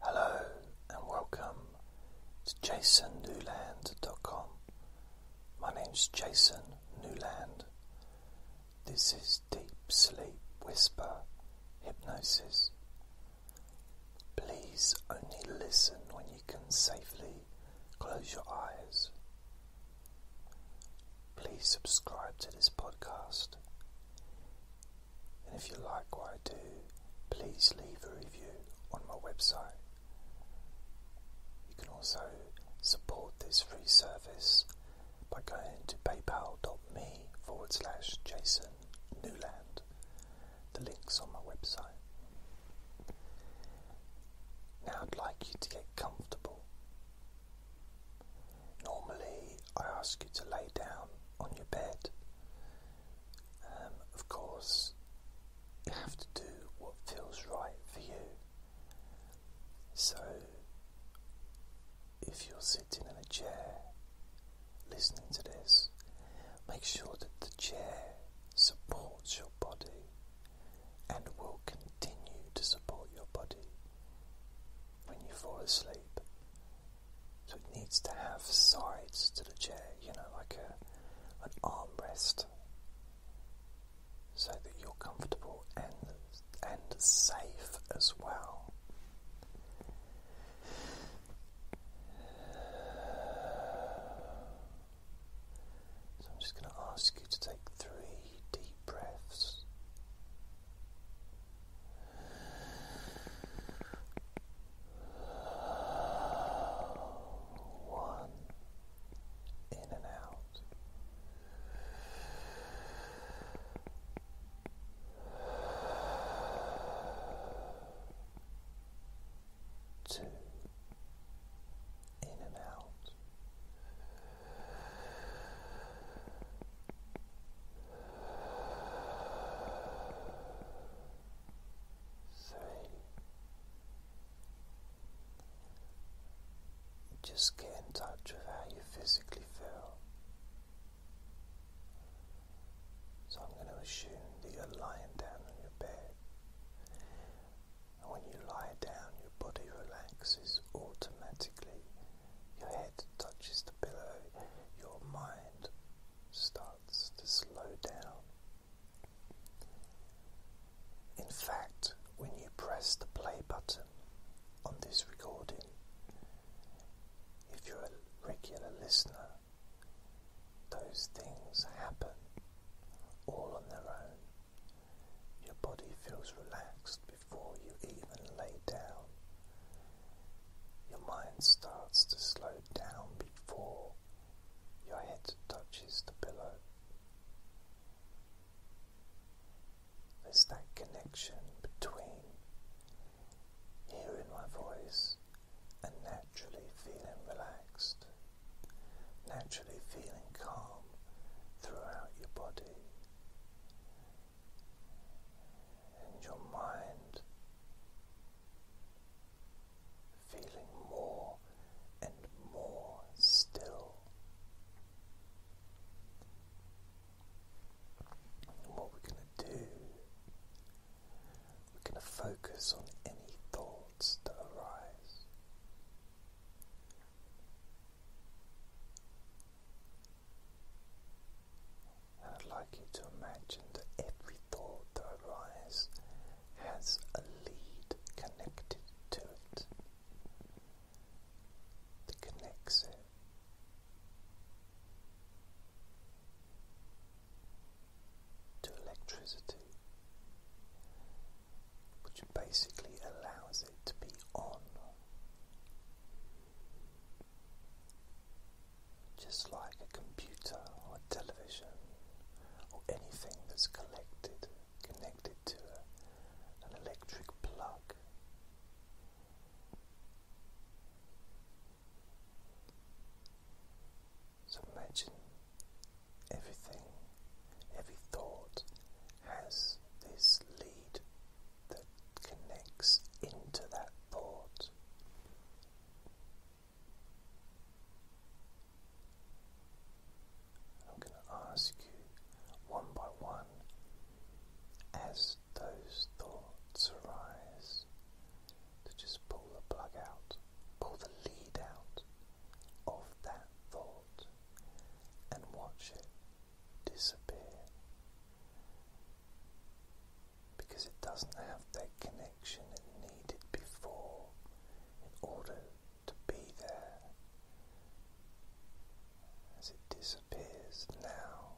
Hello and welcome to jasonnewland.com. My name is Jason Newland. This is Deep Sleep Whisper Hypnosis. Please only listen when you can safely close your eyes. Please subscribe to this podcast. And if you like what I do, please leave a review on my website. You can also support this free service by going to paypal.me forward slash Jason Newland. The link's on my website. Now I'd like you to get comfortable. Normally I ask you to lay down on your bed. Um, of course, you have to do what feels right for you. So, if you're sitting in a chair listening to this, make sure that the chair supports your body and will continue to support your body when you fall asleep. So it needs to have sides to the chair, you know, like an armrest, so that you're comfortable and and safe as well. So I'm just going to ask you to take three deep breaths. One in and out. Two in and out. Just get in touch with how you physically feel. So, I'm going to assume that you're lying down on your bed, and when you lie down, your body relaxes automatically your head touches the pillow, your mind starts to slow down. In fact, when you press the play button on this recording, if you're a regular listener, those things happen all on their own. Your body feels relaxed before you even lay down. Your mind starts to slow down before your head touches the pillow. There's that connection between hearing my voice and naturally feeling relaxed, naturally feeling calm throughout your body and your mind feeling more and more still. what we're going to do, we're going to focus on any thoughts that arise. And I'd like you to imagine that every thought that arises has a lead connected to it that connects it. To electricity, which basically allows it to be on. Just like a computer or a television or anything that's collected, connected to an electric plug. So imagine everything, every thought has this lead that connects into that thought. I'm going to ask you one by one as those thoughts arise to just pull the plug out, pull the lead out of that thought and watch it disappear because it doesn't have that connection it needed before in order to be there. As it disappears now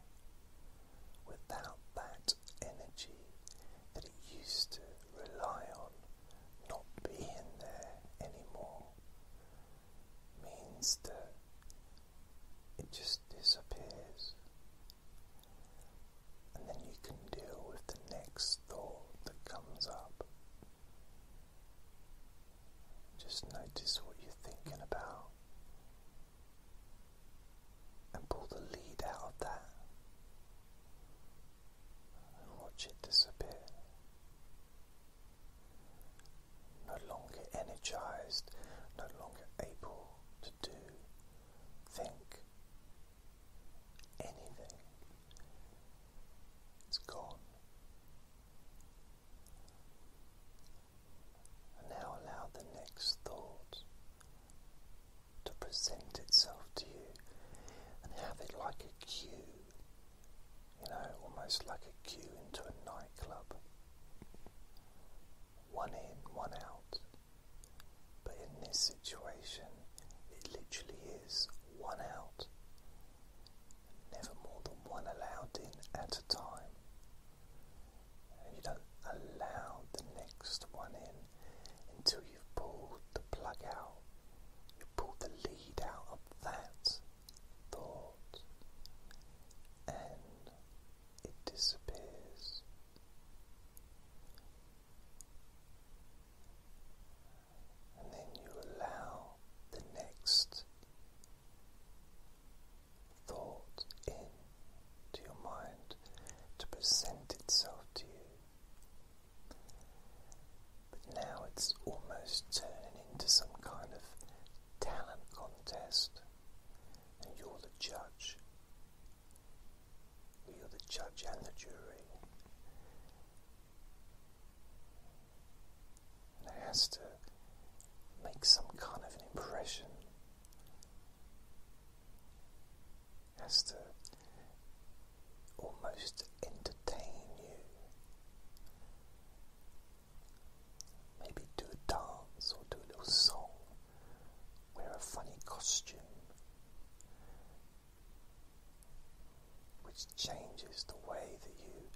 without that energy that it used to rely on not being there anymore means that it just disappears. And then you can deal with the next thought that comes up. Just notice what you're thinking about and pull the lead out of that and watch it disappear no longer energized, no longer able to do, think anything. It's gone. And now allow the next thought to present itself to you and have it like a queue, you know, almost like a queue into a nightclub one in, one out. But in this situation, it literally is one out, never more than one allowed in at a time. And you don't allow the next one in until you've pulled the plug out, you pull the lead out of that thought and it disappears. And then you allow the next thought in to your mind to present itself to you. But now it's almost turning into some kind of talent contest, and you're the judge. You're the judge and the jury. And it has to make some kind of an impression. It has to almost entertain you. Maybe do a dance or do a little song, wear a funny costume, which changes the way that you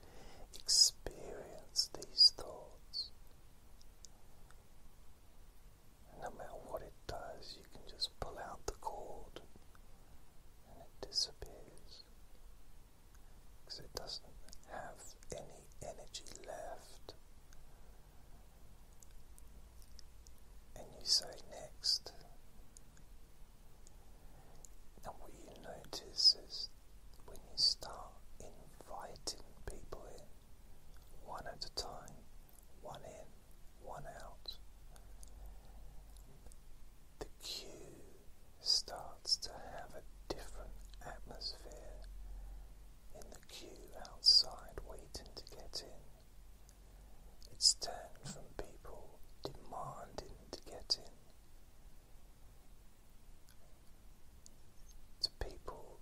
experience these thoughts. no matter what it does, you can just pull out the cord and it disappears because it doesn't have any energy left. And you say next. Now, what you notice is when you start inviting people in, one at a time, one in, one out, the queue starts to have a different atmosphere in the queue outside waiting to get in. It's turned from people demanding to get in to people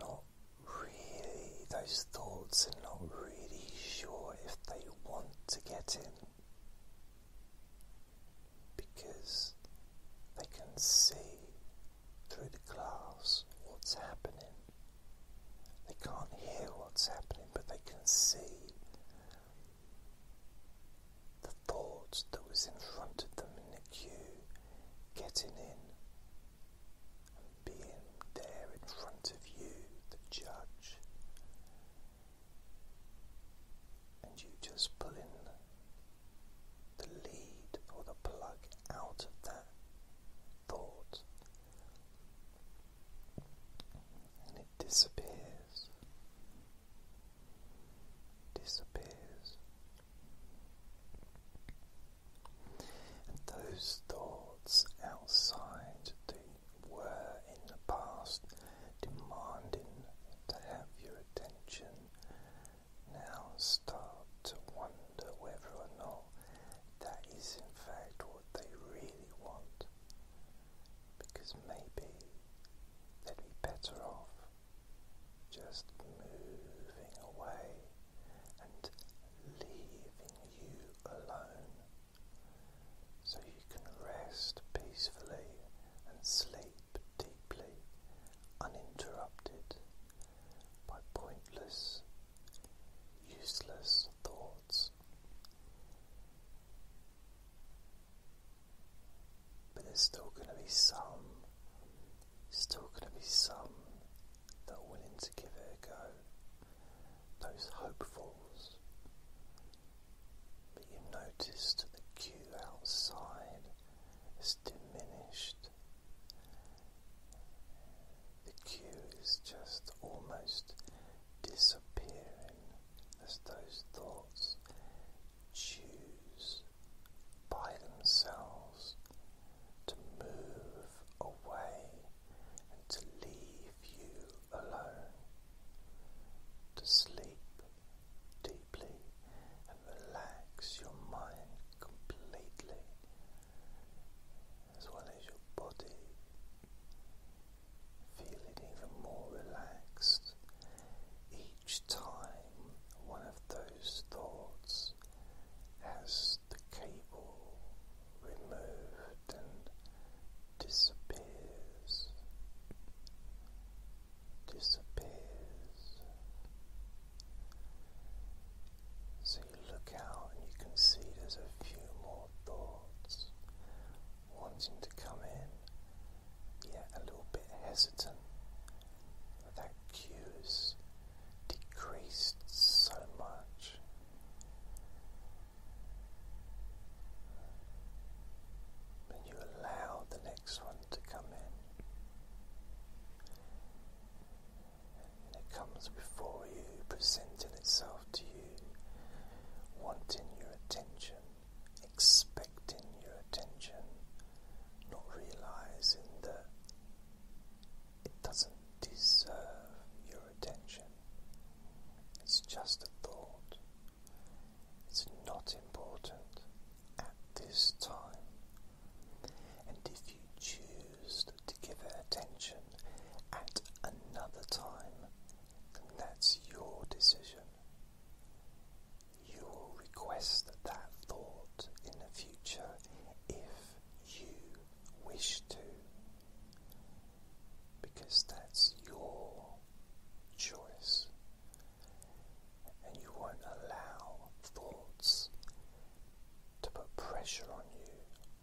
not really, those thoughts are not really sure if they want to get in because they can see through the glass what's happening. They can't hear what's happening, but they can see the thoughts that was in front of them in the queue getting in and being there in front of you, the judge and you just pull in the lead or the plug out of that thought, and it disappears, disappears, and those thoughts outside that were in the past demanding to have your attention now start to wonder whether or not that is in fact what they really want. Because maybe they'd be better off just moving away and leaving you alone so you can rest peacefully and sleep deeply, uninterrupted by pointless, useless thoughts. But there's still going to be some, still going to be some that are willing to give it a go. Those hopefuls, but you notice the queue outside is diminished. The queue is just almost disappearing as those thoughts choose by themselves to move away and to leave you alone, to sleep deeply and relax your mind completely as well as your body, Feel it even more relaxed each time one of those thoughts has the cable removed and disappears, disappears. So you look out and you can see there's a few more thoughts wanting to come in, yet a little bit hesitant. That cues decreased so much and you allow the next one to come in. And it comes before you, presenting itself to you, wanting your attention, expecting your attention, not realizing that it doesn't deserve your attention. It's just a thought. It's not important at this time. And if you choose to give it attention at another time, that's your decision. You will request that thought in the future if you wish to because that's your choice, and you won't allow thoughts to put pressure on you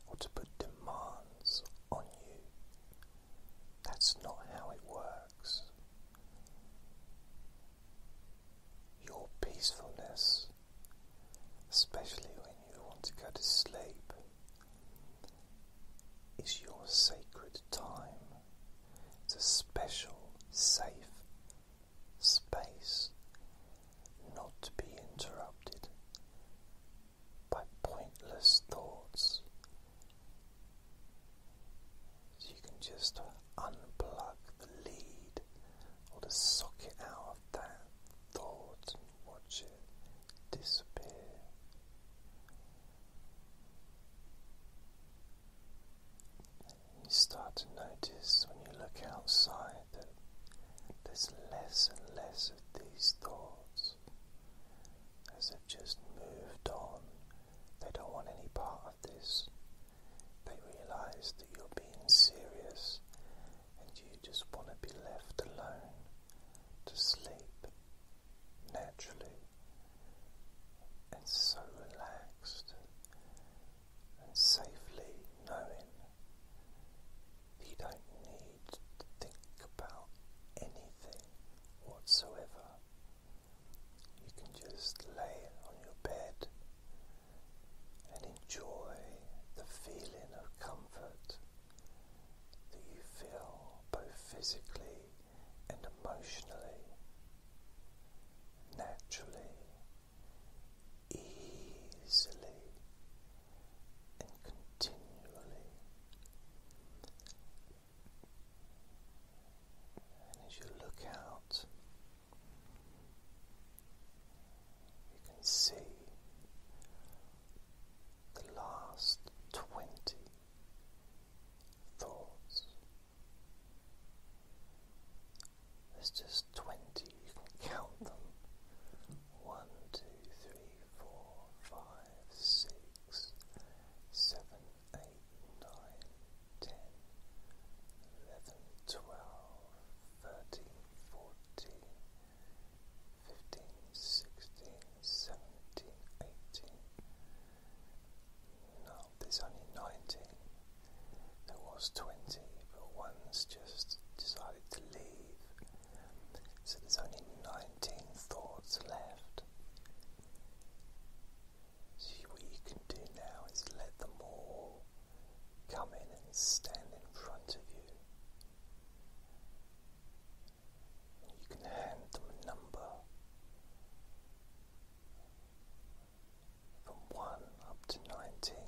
or to put demands on you. That's not how it works. Your peacefulness, especially when you want to go to sleep, is your sacred time. It's a special, safe space not to be interrupted by pointless thoughts. So you can just unplug the lead or the socket out of that thought watch it disappear. You start to notice when you look outside that there's less and less of these thoughts as they've just moved on. They don't want any part of this. They realize that you're being serious and you just want to be left alone to sleep naturally and so relaxed and safely knowing you don't need to think about anything whatsoever. You can just lay on your bed and enjoy the feeling of comfort that you feel both physically and emotionally, naturally, easily, and continually. And as you look out, you can see the last twenty thoughts. There's just twenty, you can count them. One, two, three, four, five, six, seven, eight, nine, ten, eleven, twelve, thirteen, fourteen fifteen, sixteen, seventeen, eighteen. No, there's only nineteen. There was twenty, but one's just decided to leave. So there's only nineteen thoughts left. so what you can do now is let them all come in and stand in front of you. You can hand them a number from one up to ninety,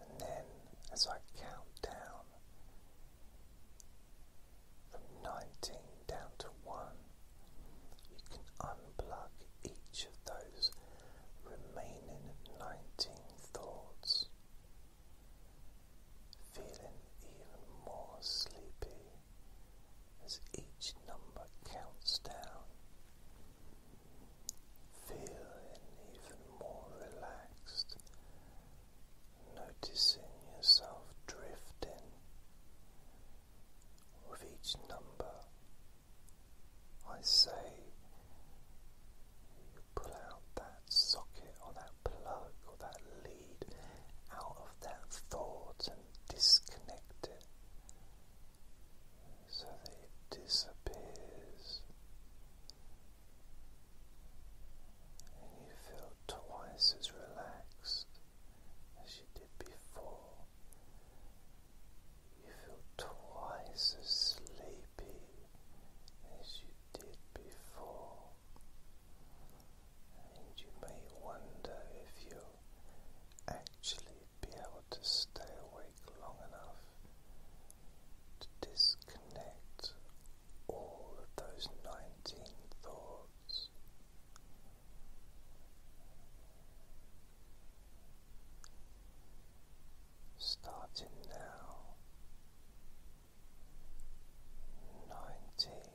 and then as I count down from nineteen down to one, you can unplug each of those remaining 19 thoughts, feeling even more sleepy as each number counts down, feeling even more relaxed, noticing yourself drifting with each number. I say you pull out that socket or that plug or that lead out of that thought and disconnect it so that it disappears. And you feel twice as relaxed as you did before. You feel twice as sleepy as you did before, and you may wonder if you'll actually be able to stay awake long enough to disconnect all of those 19 thoughts starting now nineteen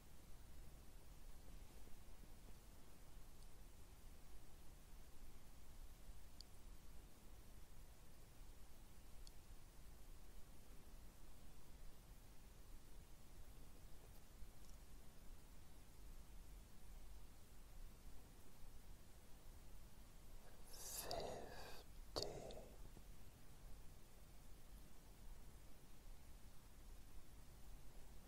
Fifty.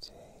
Fourteen. Thirteen.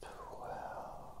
twelve. Eleven.